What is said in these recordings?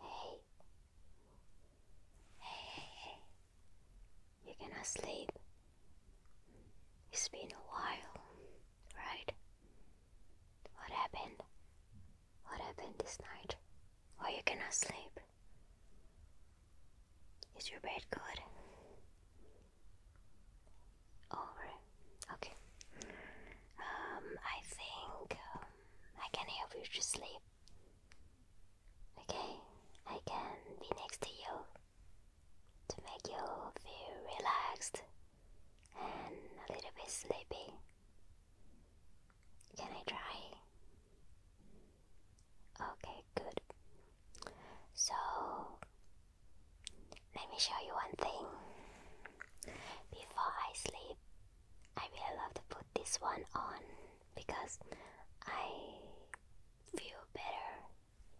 Hey. Hey, hey, hey. You cannot sleep. It's been a while, right? What happened? What happened this night? Why you gonna sleep? Is your bed good? Over Okay. Um, I think um, I can help you to sleep. Okay, I can be next to you to make you feel relaxed and a little bit sleepy. Can I try? Okay, good. So, let me show you one thing. Before I sleep, I really have to put this one on because I feel better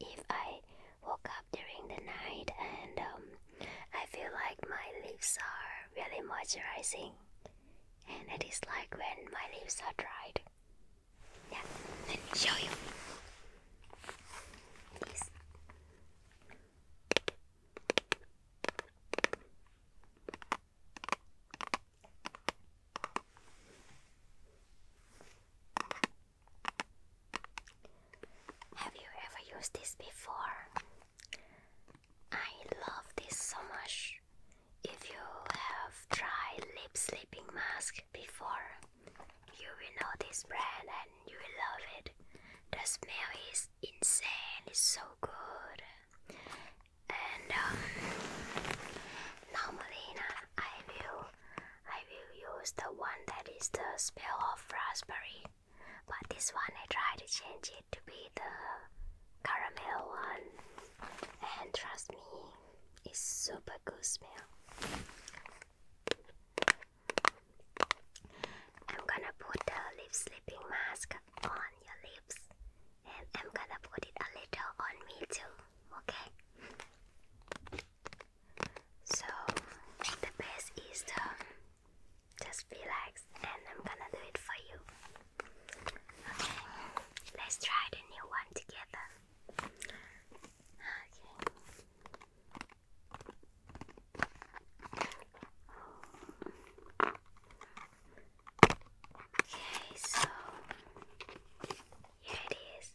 if I woke up during the night and um, I feel like my lips are really moisturizing. And it is like when my lips are dried. Yeah, let me show you. This have you ever used this before? I love this so much. If you have tried lip sleeping mask before, you will know this brand you will love it. The smell is insane, it's so good. And um, normally, I will, I will use the one that is the smell of raspberry, but this one I tried to change it to be the caramel one. And trust me, it's super good smell. I'm gonna put the lip sleeping mask on your lips and I'm gonna put it a little on me too, okay? So the best is to just relax and I'm gonna do it for you. Okay, let's try the new one together. Okay. Okay, so here it is.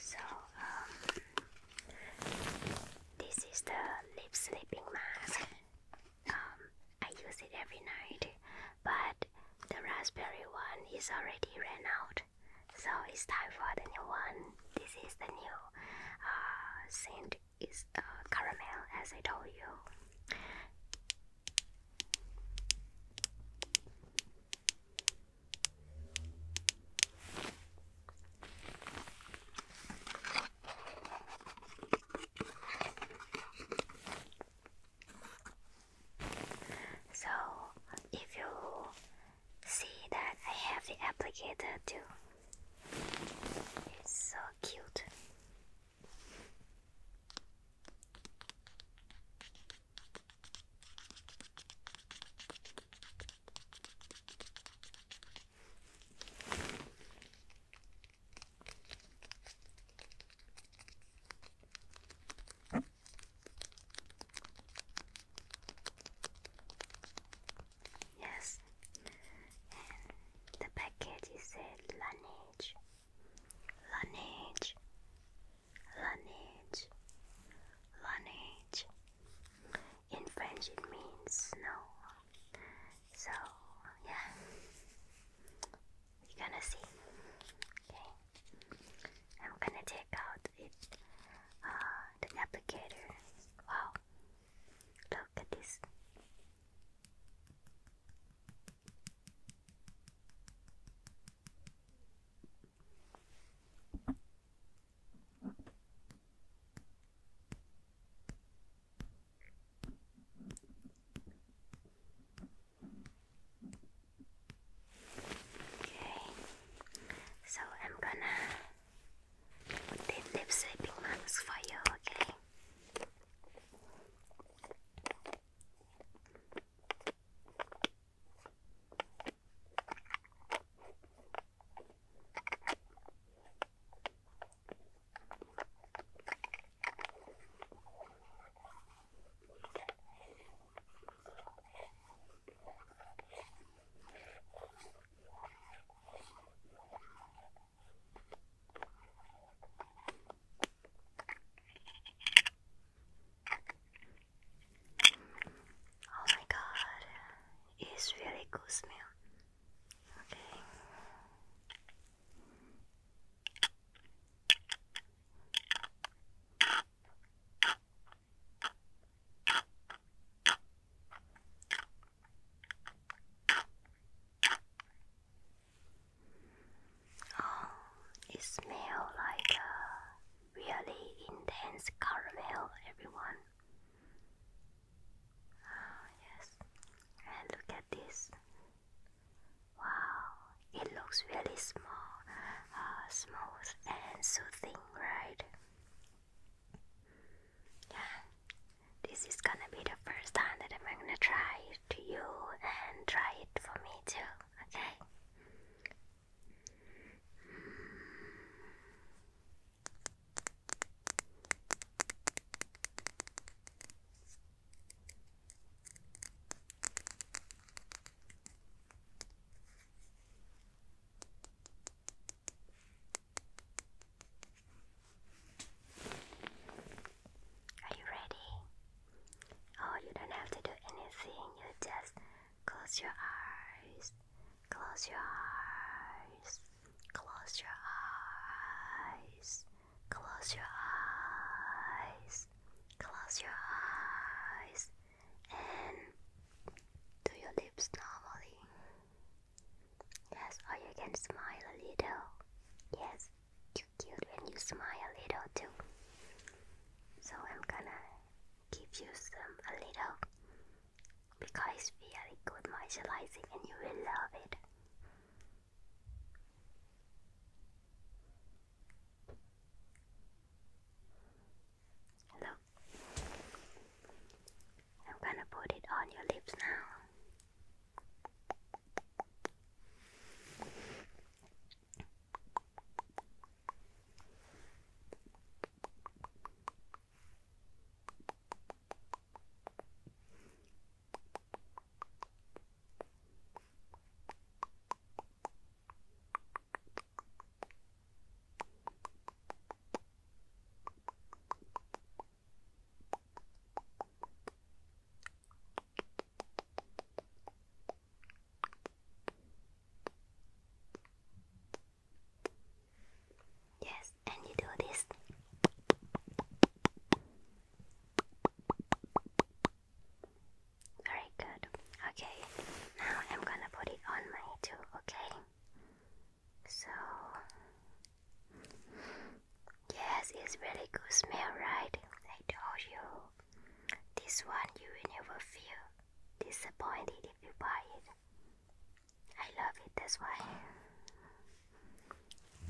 So, um, this is the lip sleeping mask. Um, I use it every night, but the raspberry one is already ran out, so it's time for the new one. This is the new uh, scent is uh, caramel, as I told you. So, if you see that I have the applicator too. It's so cute. Yes, and the packet is said lineage, lineage, lineage, lineage. In French, it means snow. So yeah, we are gonna see. Okay, I'm gonna take out it, uh, the applicator. Wow, Look at this. Okay, so I'm gonna put the lip sleeping mask for you, okay? Oh my god, it's really good smell. Okay. Oh, it smells like a uh, really intense caramel, everyone. Oh, yes, and look at this. Wow, it looks really small, uh, smooth and soothing, right? Yeah, this is gonna be the first time that I'm gonna try it to you and try it for me too, okay? Are you ready? Oh, you don't have to do anything. You just close your eyes. Close your eyes. Close your eyes. Close your eyes. Close your eyes. And do your lips normally? Yes, or you can smile a little. Yes, you cute when you smile a little too. So I'm gonna give you some a little because it's really good moisturizing and you will love it. Look, I'm gonna put it on your lips now. Yes, and you do this. Very good. Okay, now I'm gonna put it on my toe, okay? So, yes, it's really good smell, right? I told you. This one you will never feel disappointed if you buy it. I love it, that's why.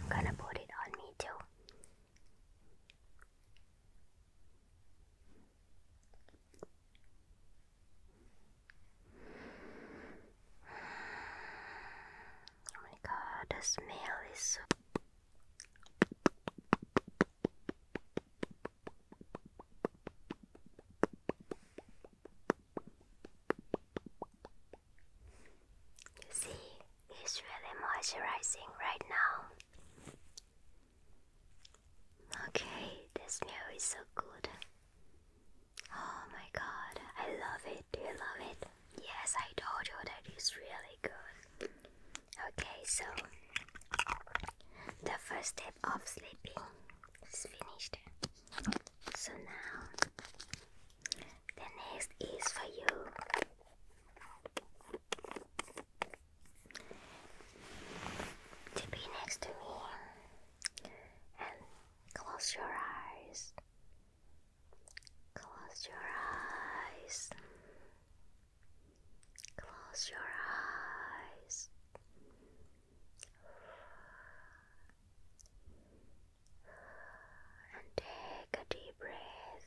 I'm gonna put it on me too. Oh my god, the smell is You see, it's really moisturizing right now. Okay, this smell is so good. Oh my god, I love it. Do you love it? Yes, I told you that really good. Okay, so the first step of sleeping is finished. So now the next is for you to be next to me and close your eyes. Close your eyes. Close your eyes. And take a deep breath.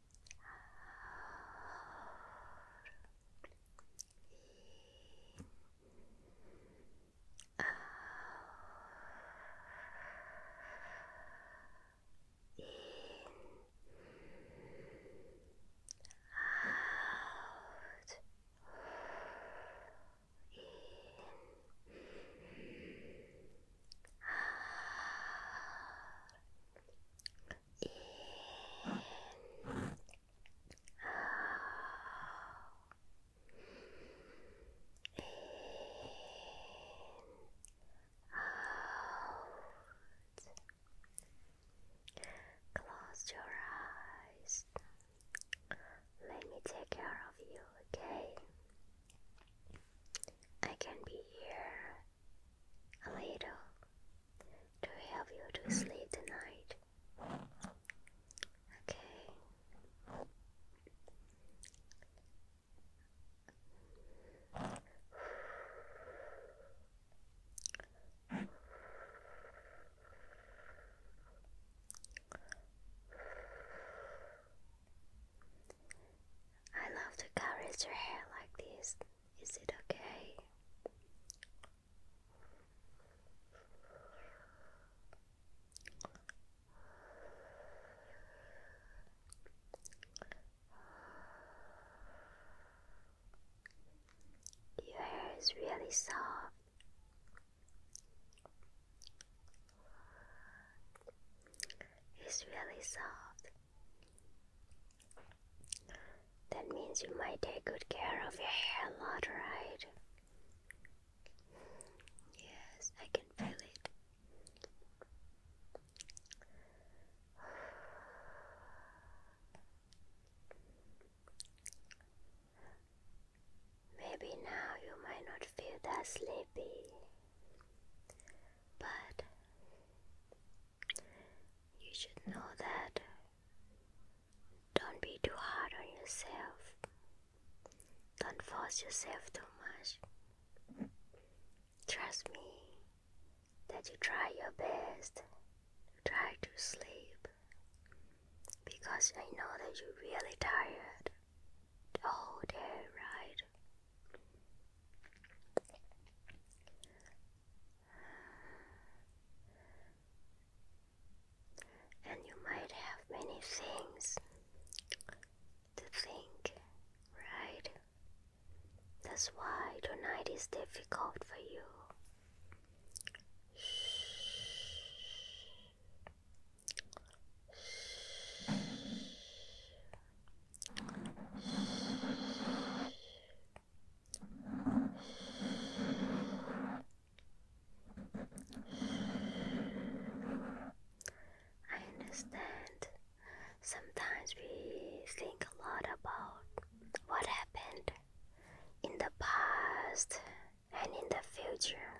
In, out, in out in out close your eyes let me take care of you okay I can be here a little to help you to sleep tonight. Okay. I love to caress your hair like this. Is it okay? Your hair is really soft. It's really soft. That means you might take good care of your hair a lot, right? Yes, I can feel it. Maybe now you might not feel that sleepy, but you should know that. Don't be too hard on yourself. Don't force yourself too much. Trust me that you try your best. Try to sleep because I know that you're really tired Oh dear, right? And you might have many things to think, right? That's why tonight is difficult for you. I understand. Sometimes we think a lot about what happened in the past and in the future,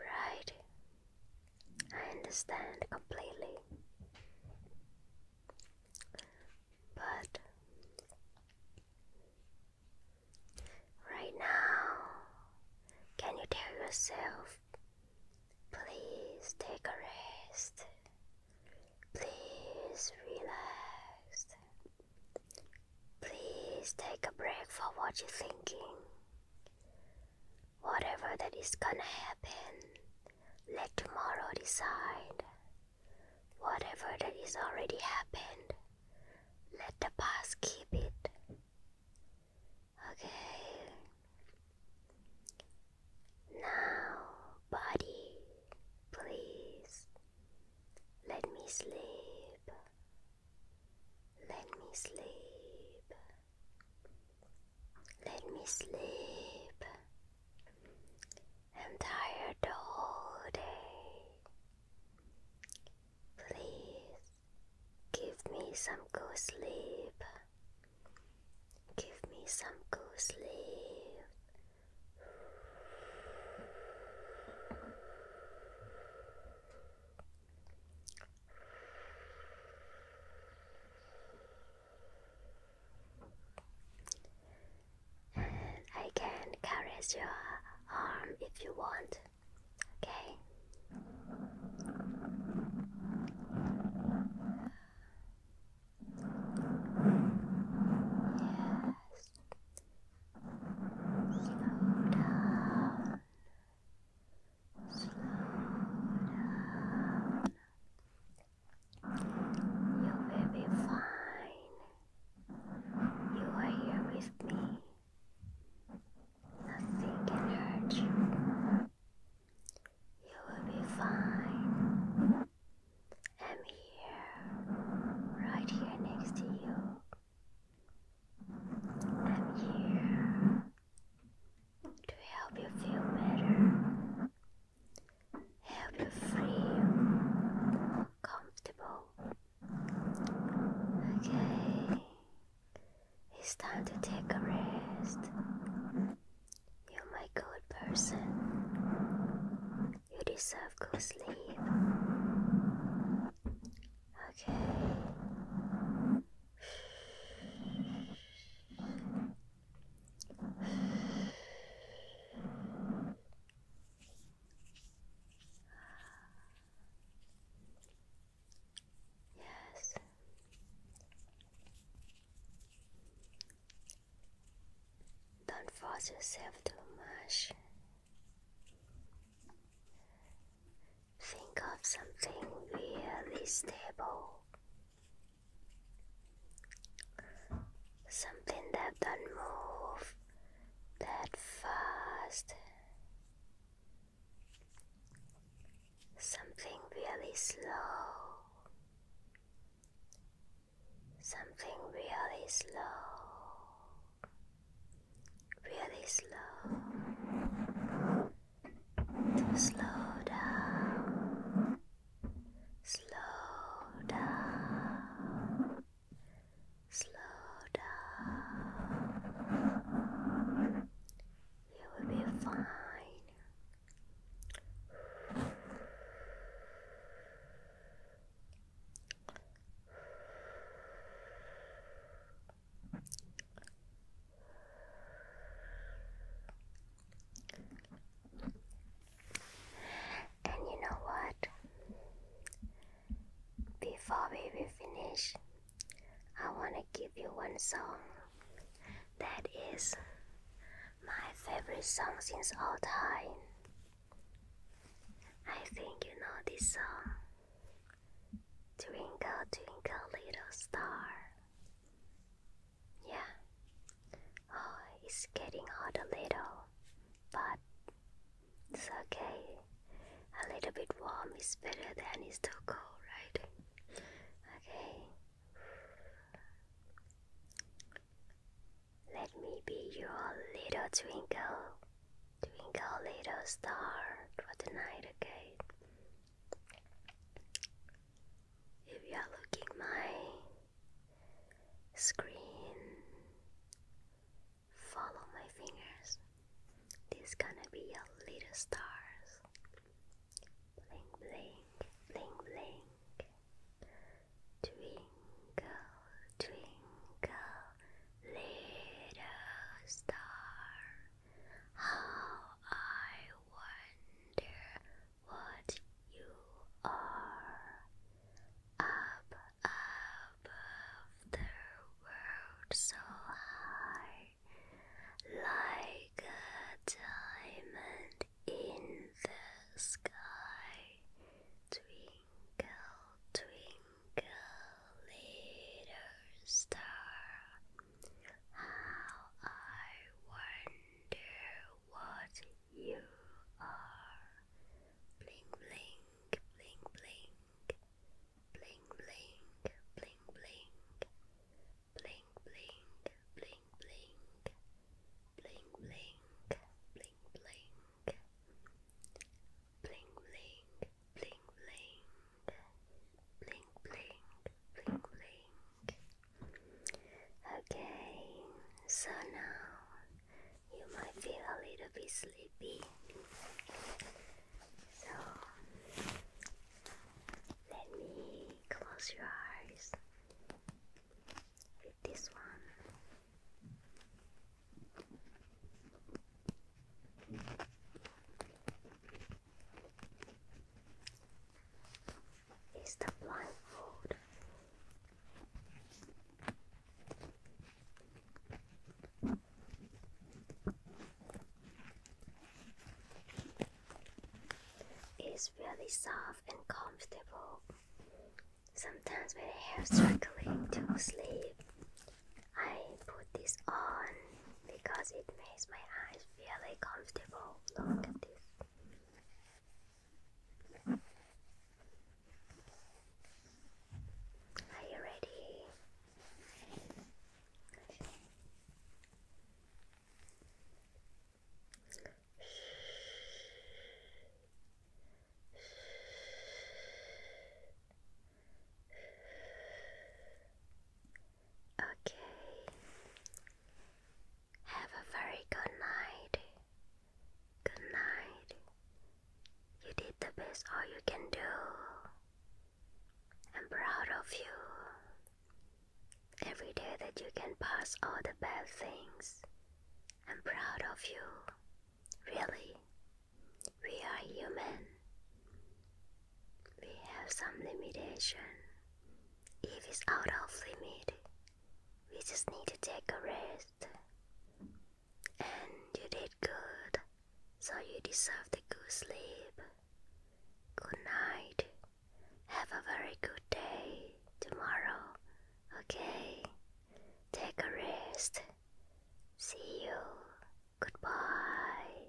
right? I understand completely. But right now, can you tell yourself, please take a rest, please relax, please take a break for what you're thinking? Whatever that is gonna happen, let tomorrow decide. Whatever that has already happened, let the past keep it. Okay. Now, body, please. Let me sleep. Let me sleep. Let me sleep. I'm tired the whole day. Please give me some good sleep. Give me some good sleep. Mm, I can caress your arm if you want. Okay. Yes. Slow down. Slow down. You will be fine. You are here with me. Nothing can hurt you. You will be fine. I'm here, right here next to you. I'm here to help you feel better help you feel comfortable. Okay, it's time to take a rest. You're my good person. You deserve good sleep. Okay. Yes. Don't force yourself too much. Think of something really stable Something that don't move that fast. Something really slow. Something really slow. Really slow to slow down, slow down, slow down. You will be fine. And you know what? Before we finish, I want to give you one song that is my favorite song since all time. I think you know this song Twinkle, Twinkle, Little Star. Yeah. Oh, it's getting hot a little, but it's okay. A little bit warm is better than it's too cold, right? Okay. Let me be your little twinkle, twinkle little star for tonight, okay? If you are looking my screen, follow my fingers. This gonna be your little stars. Blink, blink, blink, blink. Twinkle, twinkle, little star. How I wonder what you are up above the world so high, like a diamond in the sky. Twinkle, twinkle, little star. How I wonder what you are. Bling, blink, blink, blink. Bling, blink, bling, blink. Blink, blink, blink, blink. Bling, bling, Bling, bling, blink, blink, blink, blink. Okay, so now you might feel a little bit sleepy. So let me close your eyes with this one is the blindfold. It's really soft and comfortable. Sometimes when I have struggling to sleep, I put this on because it makes my eyes really comfortable. Look at this. Are you ready? Okay. Have a very good night. Good night. You did the best all you can do. I'm proud of you. Every day that you can pass all the bad things, I'm proud of you. Really, we are human we have some limitation. If it's out of limit, we just need to take a rest. And you did good, so you deserve the good sleep. Good night. Have a very good day tomorrow, okay? Take a rest. See you. Goodbye.